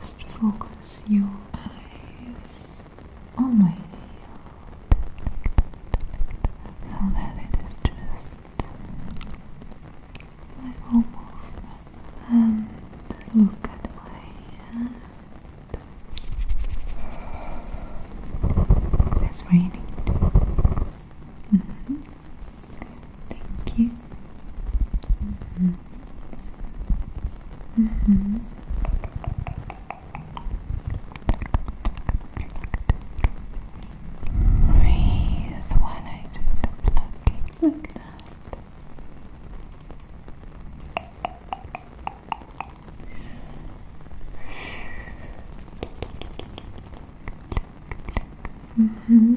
Just focus your eyes on my nail like that, so that it is just little movement. look at my hand. It's raining. Mm-hmm. Thank you. Mm-hmm. Mm -hmm. Breathe while I do the plucking like that. -hmm.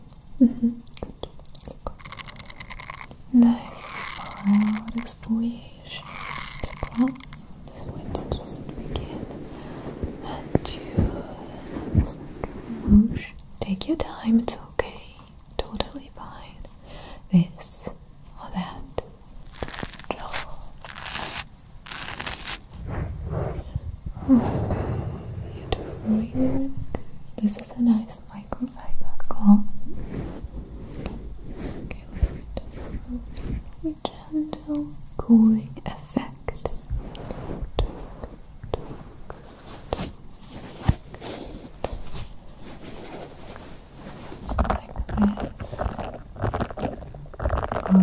Mm Good. Nice let's just begin and do Take your time, it's okay. Totally fine. This or that. Draw. Oh, beautiful, really, This is a nice microfiber cloth. Okay, let me just go a gentle cooling effect. Like this. Okay.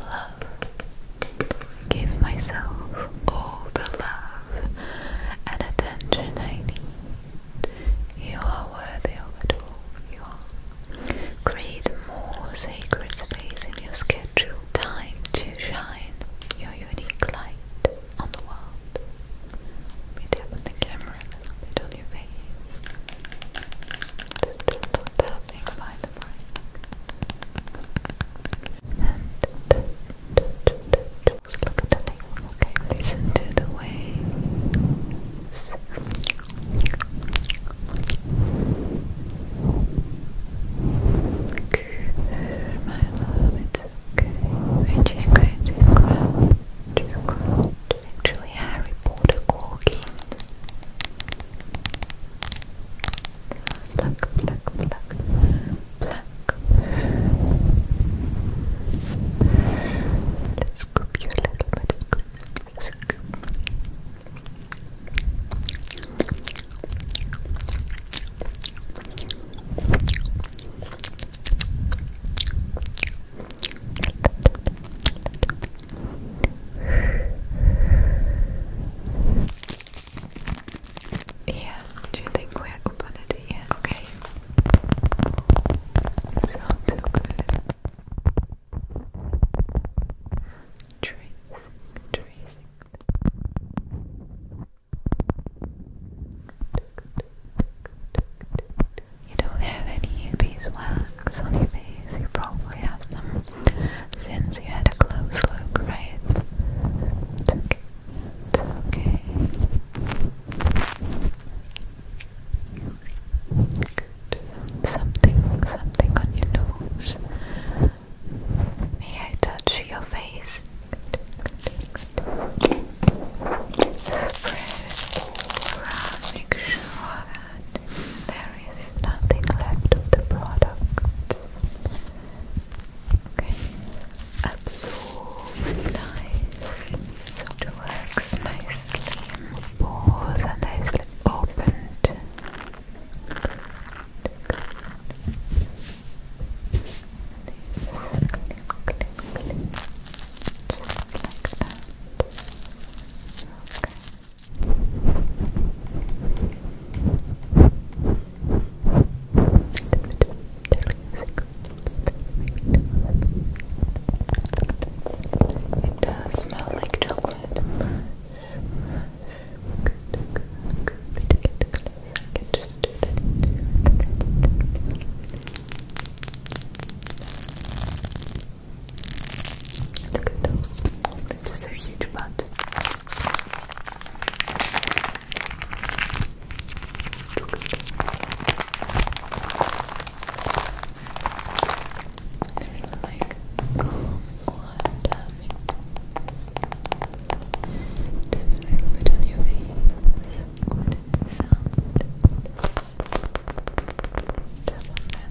love. Give myself all the love and attention I need. You are worthy of it all. You are. Create more sacred space in your schedule. Time to shine your unique light on the world. Let me tap the camera a on your face. Just tapping my the mic. And just look at the nail, okay? Listen to the waves. My love, it's okay. we just going to crouch, crouch. It's actually Harry Potter walking. Black, black, black, black. Let's scoop you a little bit. Scoop, scoop. Yeah, do you think we're open at Okay. Sounds so good. Tracing, tracing. You don't have any beeswax on your face, you probably have some since you had a close look, right? okay. okay. Something, something on your nose. May I touch your face? Spread it around. Make sure there is nothing left of the product. Okay, absorb nicely, so it works nicely. Pores nicely opened. Okay. It does smell like chocolate. Good, good, good. Wait to get the clothes. I can just do that. Good. Look at those. That's just a huge butt. They're really like, oh, uh, what Definitely put on your face. Good uh, sound. Tap on that.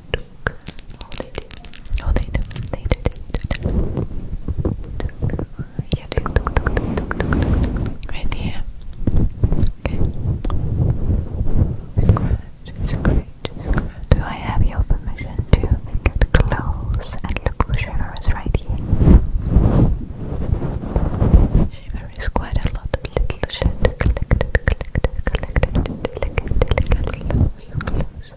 Took. do. Okay. Scratch, scratch, Do I have your permission to get close and look for shivers right here? Shivers quite a lot of little shit collected, collected, collected, collected, collected, collected, collected, collected, collected, collected, collected, collected, Throw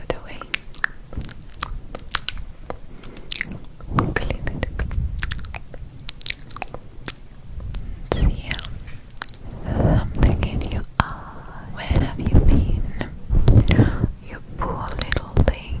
it away. Clean it. See Something in your eye. Where have you been? You poor little thing.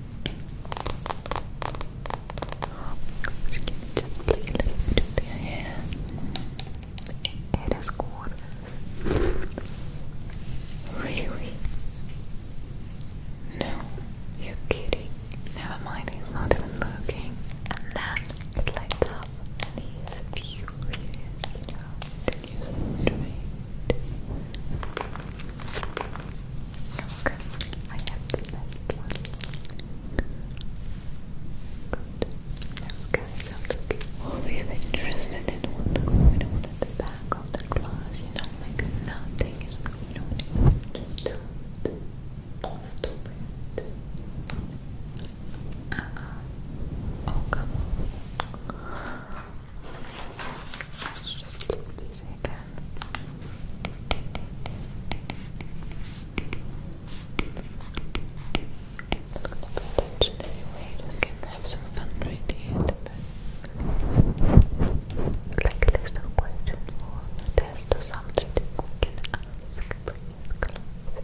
just play a little bit with your hair. It is gorgeous. Really? No, you're kidding. Never mind, he's not even looking. And then it lights up, and he's furious, you Don't Look, I have the best one. Good. Those guys always interested in what's going on at the back of the glass, you know, like nothing is going on. Just do it. Uh-uh. Oh, let just keep these again. Not gonna pay attention anyway, have some fun right here at a list of questions or test or something can ask. Bring your clothes in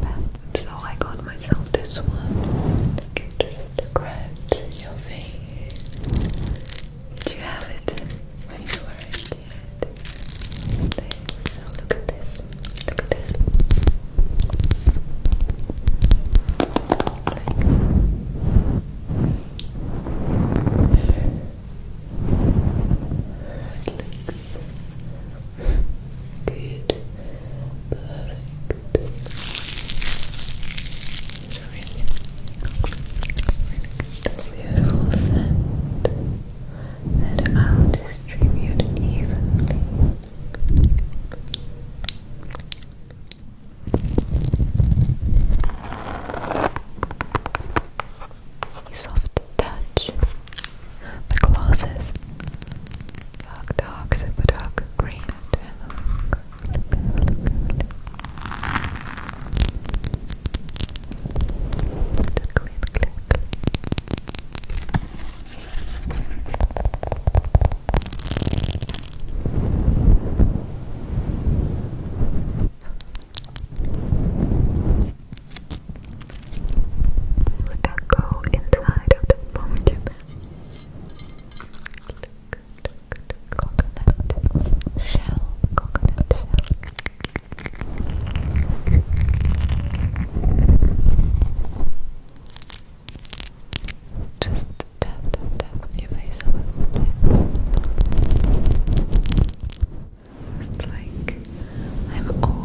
But, so I got myself this one. Get rid the cracks in your face. Do you have it when you were it yet? so look at this. Look at this. Good. Perfect. Really, really Beautiful scent that I'll distribute evenly. Soft touch. The glosses. Dark, dark, super dark green. And look, look, look, look. Click, click, click echo inside of the Coconut shell, coconut shell. Just tap, tap, tap your face a It's like I'm all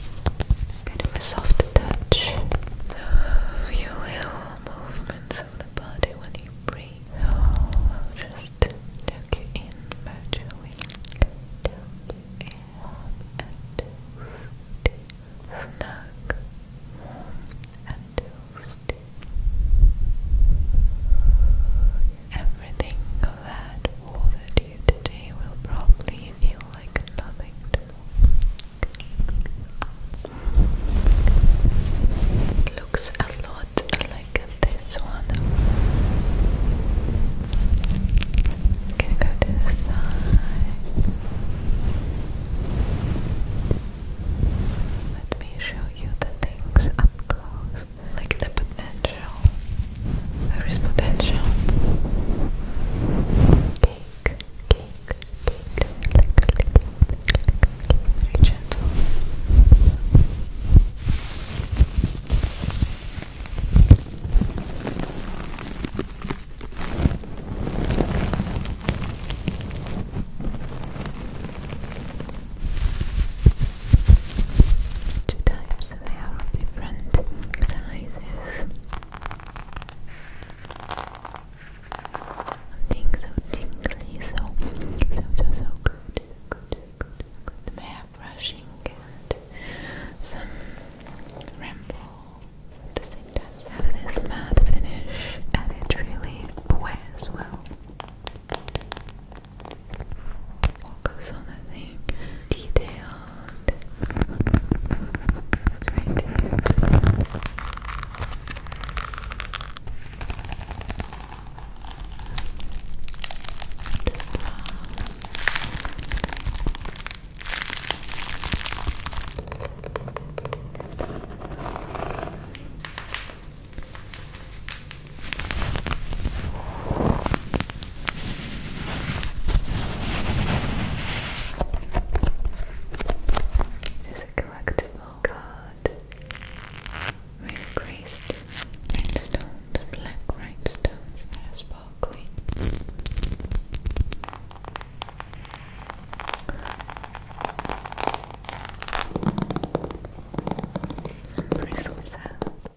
kind of a soft touch. So you will movements of the body when you breathe. So just tuck you in virtually. in and toasty. Snug, and toasty. Everything that water you you today will probably feel like nothing looks a lot like this one. i go to side. Let me show you the things up close like the potential. There is potential. Cake, cake, cake, very gentle. Too tight tabs and they are different sizes. Something so tingly, so so so so good, good, good, brushing and some ramble at the same time. have this matte finish and it really wears well. What goes on the thing? Detailed. It's right there. Just, there's a collectible card. Real graced rhinestones, black rhinestones that are sparkly. Crystal sound.